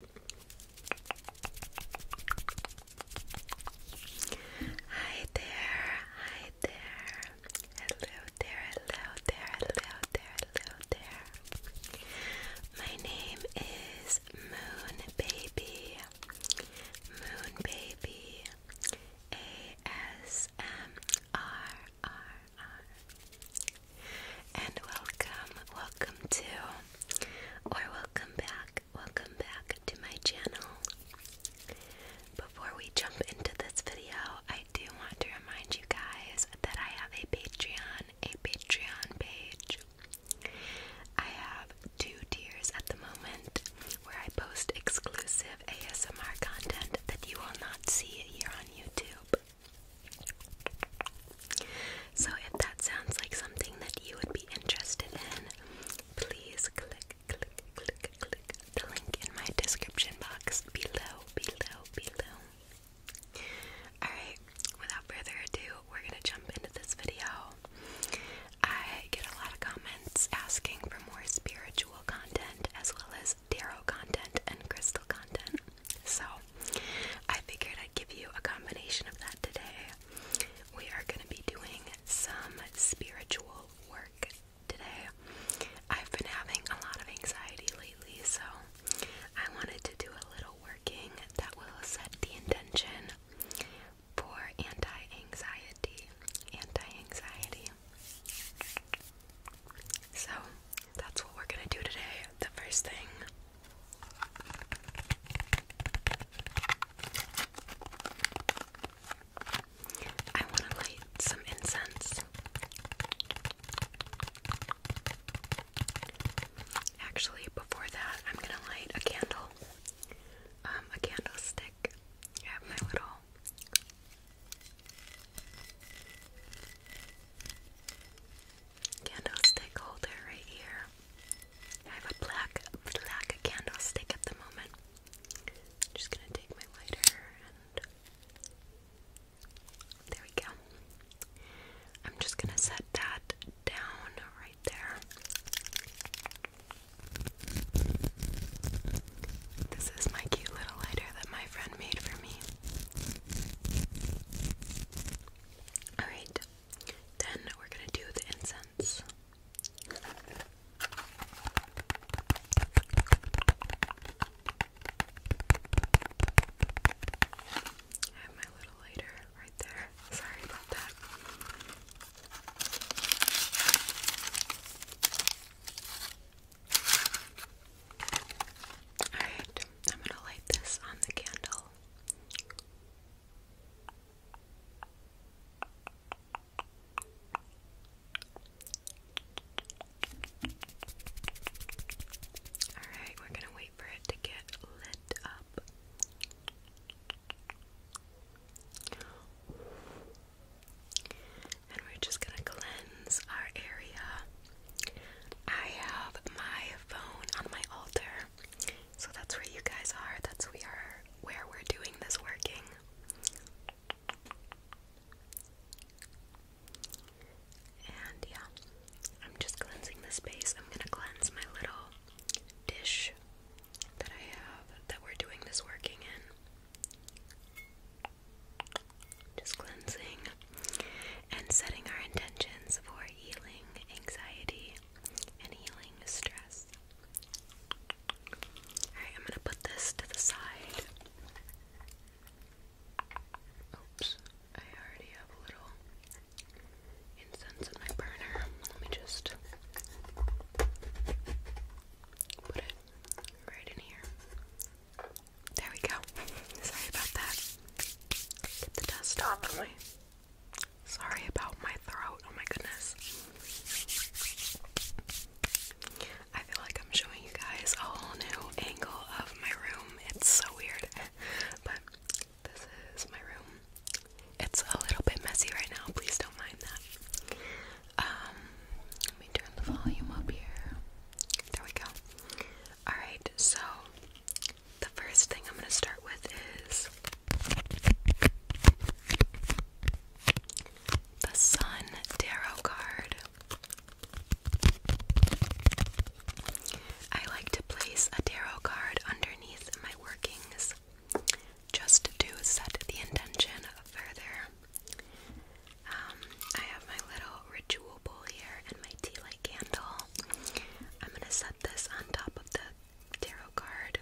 Hi there, hi there. Hello there, hello there, hello there, hello there. My name is Moon Baby. Moon Baby. A S M R R R and welcome, welcome to, or welcome back, welcome back to my channel. Before we jump into this video, I do want to remind you guys that I have a Patreon, a Patreon page. I have two tiers at the moment where I post exclusive ASMR content that you will not see here on YouTube. So, if that sounds like something that you would be interested in, please click, click, click, click the link in my description box below, below, below. Alright, without further ado, we're gonna jump into this video. I get a lot of comments asking for more spiritual content as well as tarot content and crystal content. So I figured I'd give you a combination of that today. We are going to be doing some spiritual work today. I've been having a lot of anxiety lately, so I wanted to do a little working that will set the intention for anti-anxiety. Anti-anxiety. So that's what we're gonna do today. The first thing I want to light some incense. Actually, before that, I'm going to light a candle. Um, a candlestick. I have my little candlestick holder right here. I have a black black candlestick at the moment. I'm just gonna take my lighter and there we go. I'm just gonna set that down right there. This is my cute little lighter that my friend made for me. Alright, then we're going to do the incense. I have my little lighter right there. Sorry about that. Alright, I'm going to light this on the candle. Alright, we're gonna wait for it to get lit up. And we're just gonna cleanse our area. I have my phone on my altar. So that's where you guys are. That's we are where we're doing this working. And yeah, I'm just cleansing the space. I'm gonna cleanse my little dish that I have that we're doing this working in. Just cleansing and setting our intentions for healing, anxiety, and healing stress. Alright, I'm gonna put this to the side. Oops, I already have a little incense in my burner. Let me just put it right in here. There we go. Sorry about that. the dust off Sorry about my throat. Oh my goodness. I feel like I'm showing you guys a whole new angle of my room. It's so weird. But this is my room. It's a little bit messy right now. Please don't mind that. Um, let me turn the volume up here. There we go. Alright, so the first thing I'm going to start with is the Sun Tarot card. I like to place a tarot card underneath my workings just to set the intention further. Um, I have my little ritual bowl here and my tea light candle. I'm going to set this on top of the tarot card.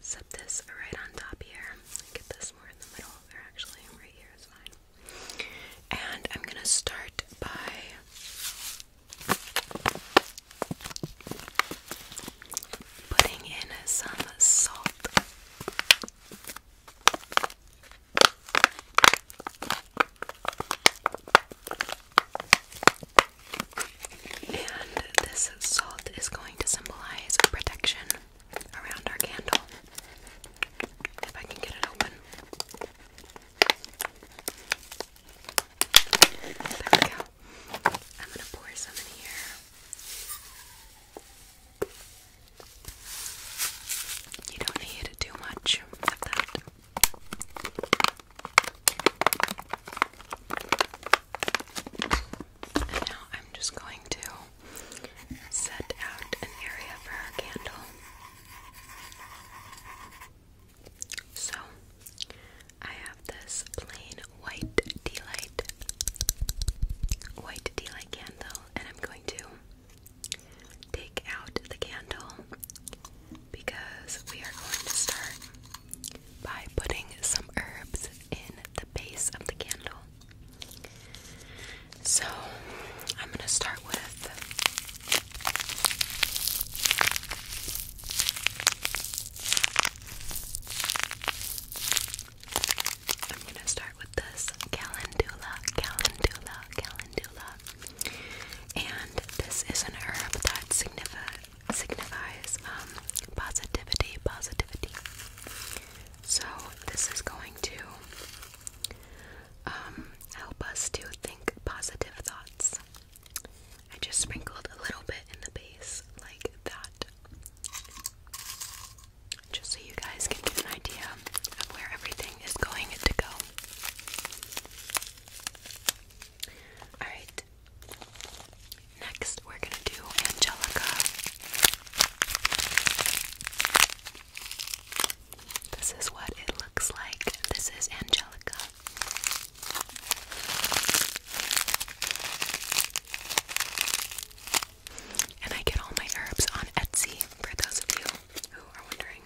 Set this right on top here. Get this more in the middle. Or actually, right here is fine. And I'm gonna start by putting in some salt. And this salt is going to symbolize protection around our candle. If I can get it open. There we go. I'm going to pour some in here. You don't need too much of that. And now I'm just going to set out an area for our candle. So, I have this plain white D white D candle and I'm going to take out the candle because we are going to start by putting some herbs in the base of the candle. So I'm going to start with I'm gonna start with this calendula, calendula, calendula. And this is an herb that signifies um, positivity, positivity. So this is going to um, help us to think positive thoughts. I just sprinkled a little bit in the base like that. Just so you guys can get an idea of where everything is going to go. Alright, next we're gonna do Angelica. This is what it looks like. This is Angelica. And I get all my herbs on Etsy for those of you who are wondering.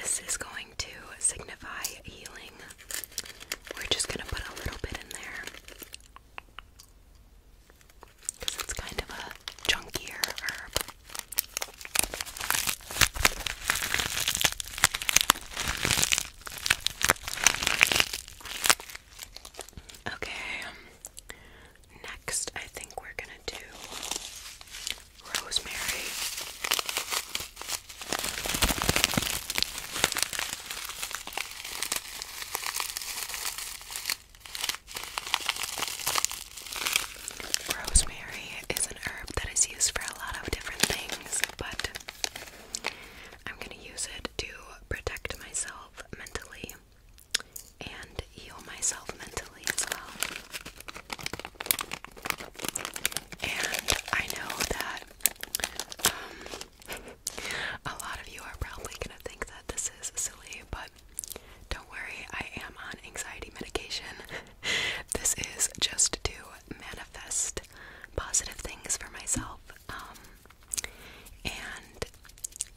This is going to signify healing. We're just going to put a little bit in there. Because it's kind of a chunkier herb. Okay, Next, I think we're gonna do rosemary. Rosemary is an herb that is used for a lot of different things, but I'm going to use it to protect myself mentally and heal myself mentally as well. And I know that um, a lot of you are probably gonna think that this is silly, but don't worry, I am on anxiety medication. this is just to manifest positive things for myself. Um, and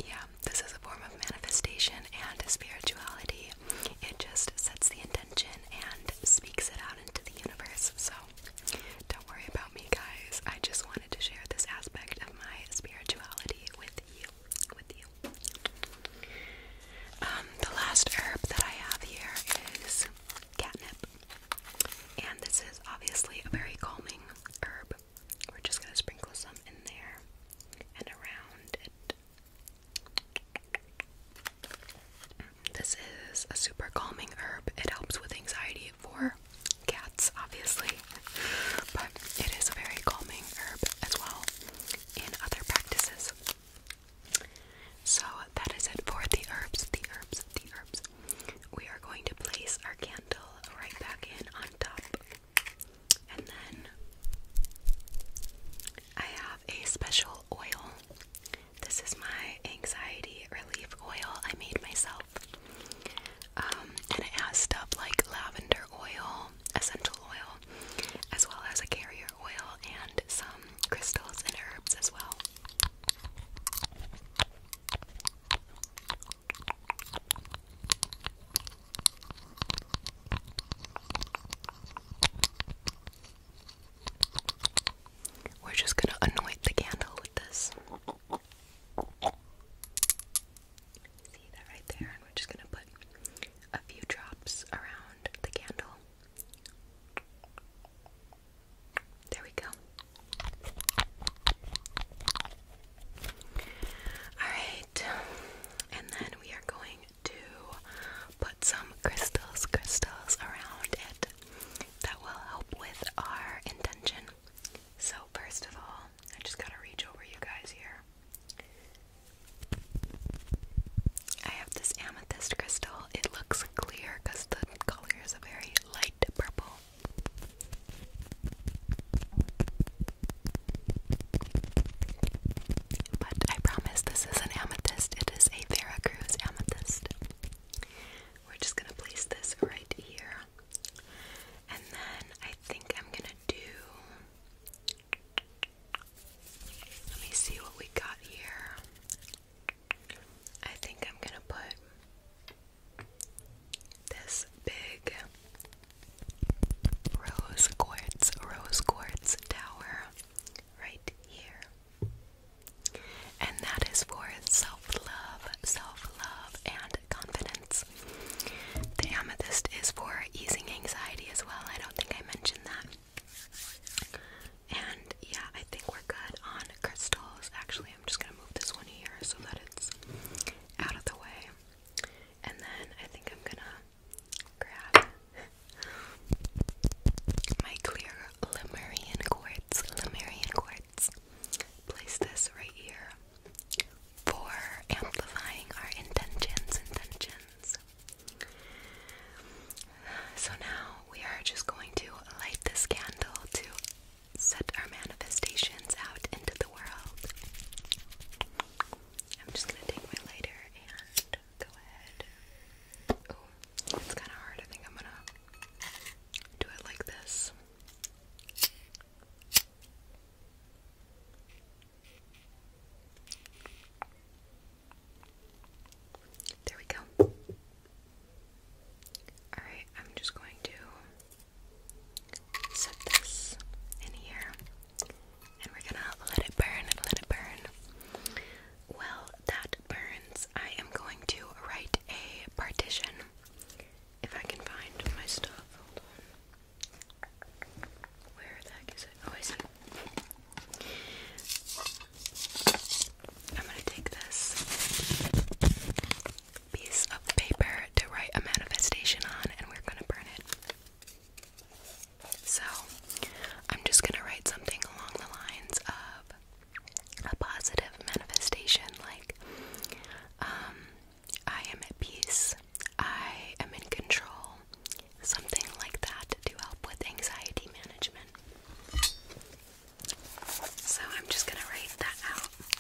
yeah, this is a form of manifestation and spirituality. It just sets the intention and speaks it out into the universe. So don't worry about me, guys. I just wanted to share this aspect of my spirituality with you. With you. Um, the last herb that I have here is catnip. And this is obviously a very calming herb. We're just gonna sprinkle some in there and around it. This is a super calming herb. It helps with anxiety for cats, obviously, but it is a very calming herb as well in other practices. So that is it for the herbs, the herbs, the herbs. We are going to place our candle right back in on top and then I have a special oil. This is my anxiety relief oil I made myself. Um, and it has stuff like lavender oil, essential oil, as well as a carrier oil and some crystals and herbs as well. We're just going to anoint the candle with this. See that right there? And we're just going to put a few drops around the candle. There we go. Alright, and then we are going to put some crystals, crystals around it that will help with our intention. So, first of all, I just gotta reach over you guys here. I have this amethyst crystal. It looks clear because the color is a very light purple. But I promise this is an amethyst. It is a Veracruz amethyst. We're just gonna place this right here. And then I think I'm gonna do. Let me see what we got here. I think I'm gonna put this big rose quartz, rose quartz tower right here. And that is for self love, self love, and confidence. The amethyst is for easing anxiety as well. I don't think I mentioned that. And yeah, I think we're good on crystals. Actually, I'm just gonna move this one here so that it's out of the way. And then I think I'm gonna grab my clear Lemurian quartz. Lemurian quartz. Place this right here for amplifying our intentions. Intentions. So now we are just going to light this candle to set our manifestations out into the. I'm just gonna take my lighter and go ahead. it's kind of hard. I think I'm gonna do it like this. There we go. Alright, I'm just going to set this in here and we're gonna let it burn, let it burn. While that burns, I am going to write a partition. If I can find my stuff, Where the heck is it? Oh, I see. I'm gonna take this piece of paper to write a manifestation on, and we're gonna burn it. So, I'm just gonna write something along the lines of a positive manifestation like, um, I am at peace, I am in control, something like that to help with anxiety management. So, I'm just gonna write that out.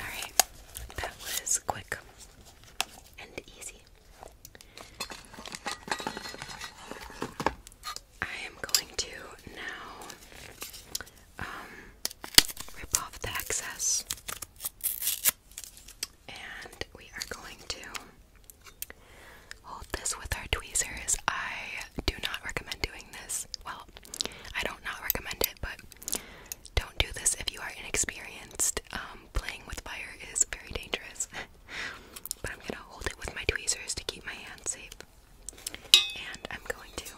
Alright, that was quick and easy. I am going to now um, rip off the excess and we are going to hold this with our tweezers. I do not recommend doing this. Well, I don't not recommend it, but don't do this if you are inexperienced. Um, playing with fire is very dangerous. but I'm gonna hold it with my tweezers to keep my hands safe. And I'm going to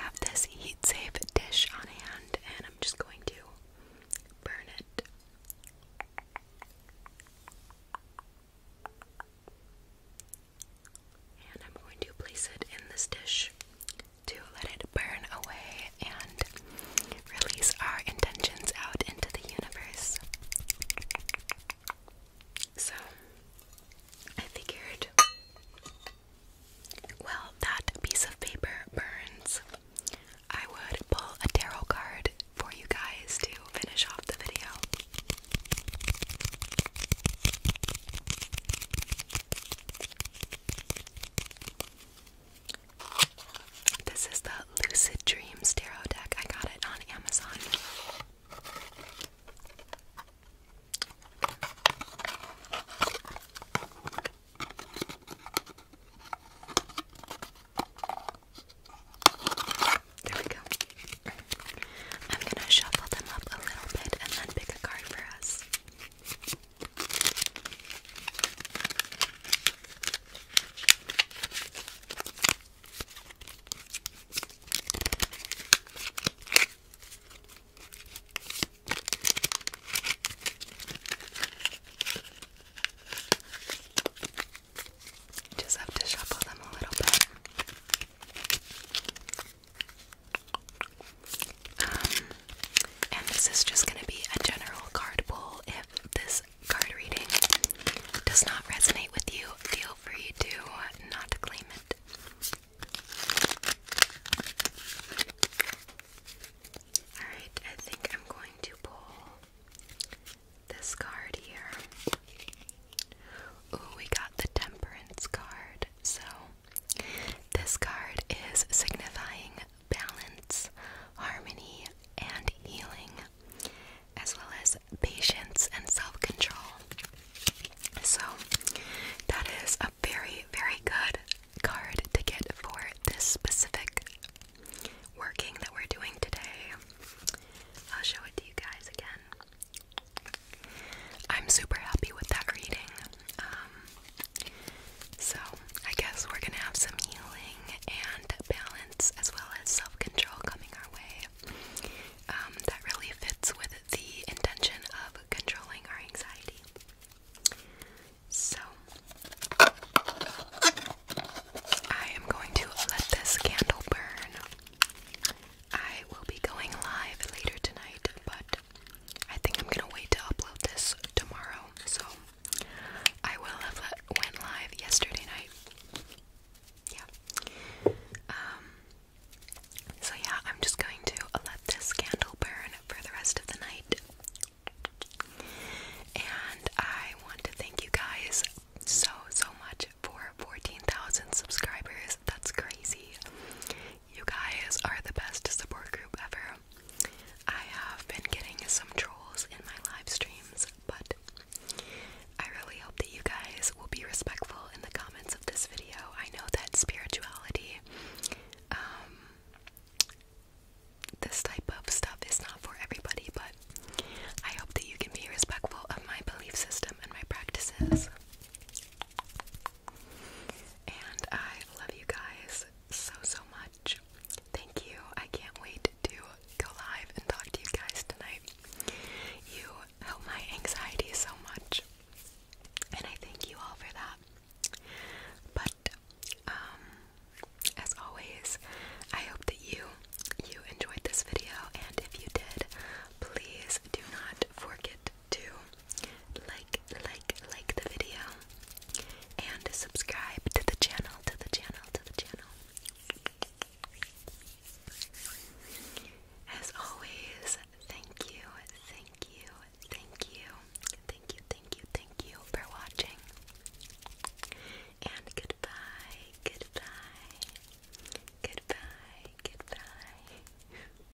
have this heat safe dish on hand and I'm just going to burn it. And I'm going to place it in this dish to let it burn away and release our intentions out into the universe. So, I figured, well, that piece of paper burns. I would pull a tarot card for you guys to finish off the video. This is the Lucid Dreams Tarot deck. I got it on Amazon. There we go. I'm gonna shuffle them up a little bit and then pick a card for us. Just have to shuffle them a little bit. Um, and this is just going to be a general card pull. If this card reading does not resonate with you, feel free to not claim it. Alright, I think I'm going to pull this card here. Ooh, we got the Temperance card, so this card is signifying balance, harmony, and healing, as well as patience and self control. So, that is a very, very good card to get for this specific working that we're doing today. I'll show it to you guys again. I'm super happy with that reading. Um, so I guess we're gonna have some healing and balance as well as self control coming our way. Um, that really fits with the intention of controlling our anxiety. So, I am going to let this candle burn. I will be going live later tonight, but I think I'm gonna wait to upload this tomorrow. So I will have let, went live yesterday night. Yeah. Um. So yeah, I'm just going to let this candle burn for the rest of the night. And I want to thank you guys so so much for 14,000 subscribers. That's crazy. You guys are the best support group ever. I have been getting some trolls in my live streams, but I really hope that you guys will be respectful in the comments of this video. I know that spirituality, um, this type of stuff is not for everybody, but I hope that you can be respectful of my belief system and my practices. And I love you guys so, so much. Thank you. I can't wait to go live and talk to you guys tonight. You help my anxiety so much. And I thank you all for that. But, um, as always, I hope that you you enjoyed this video and if you did, please do not forget to like, like, like the video and subscribe to the channel, to the channel, to the channel. As always, thank you, thank you, thank you, thank you, thank you, thank you for watching. And goodbye, goodbye, goodbye, goodbye.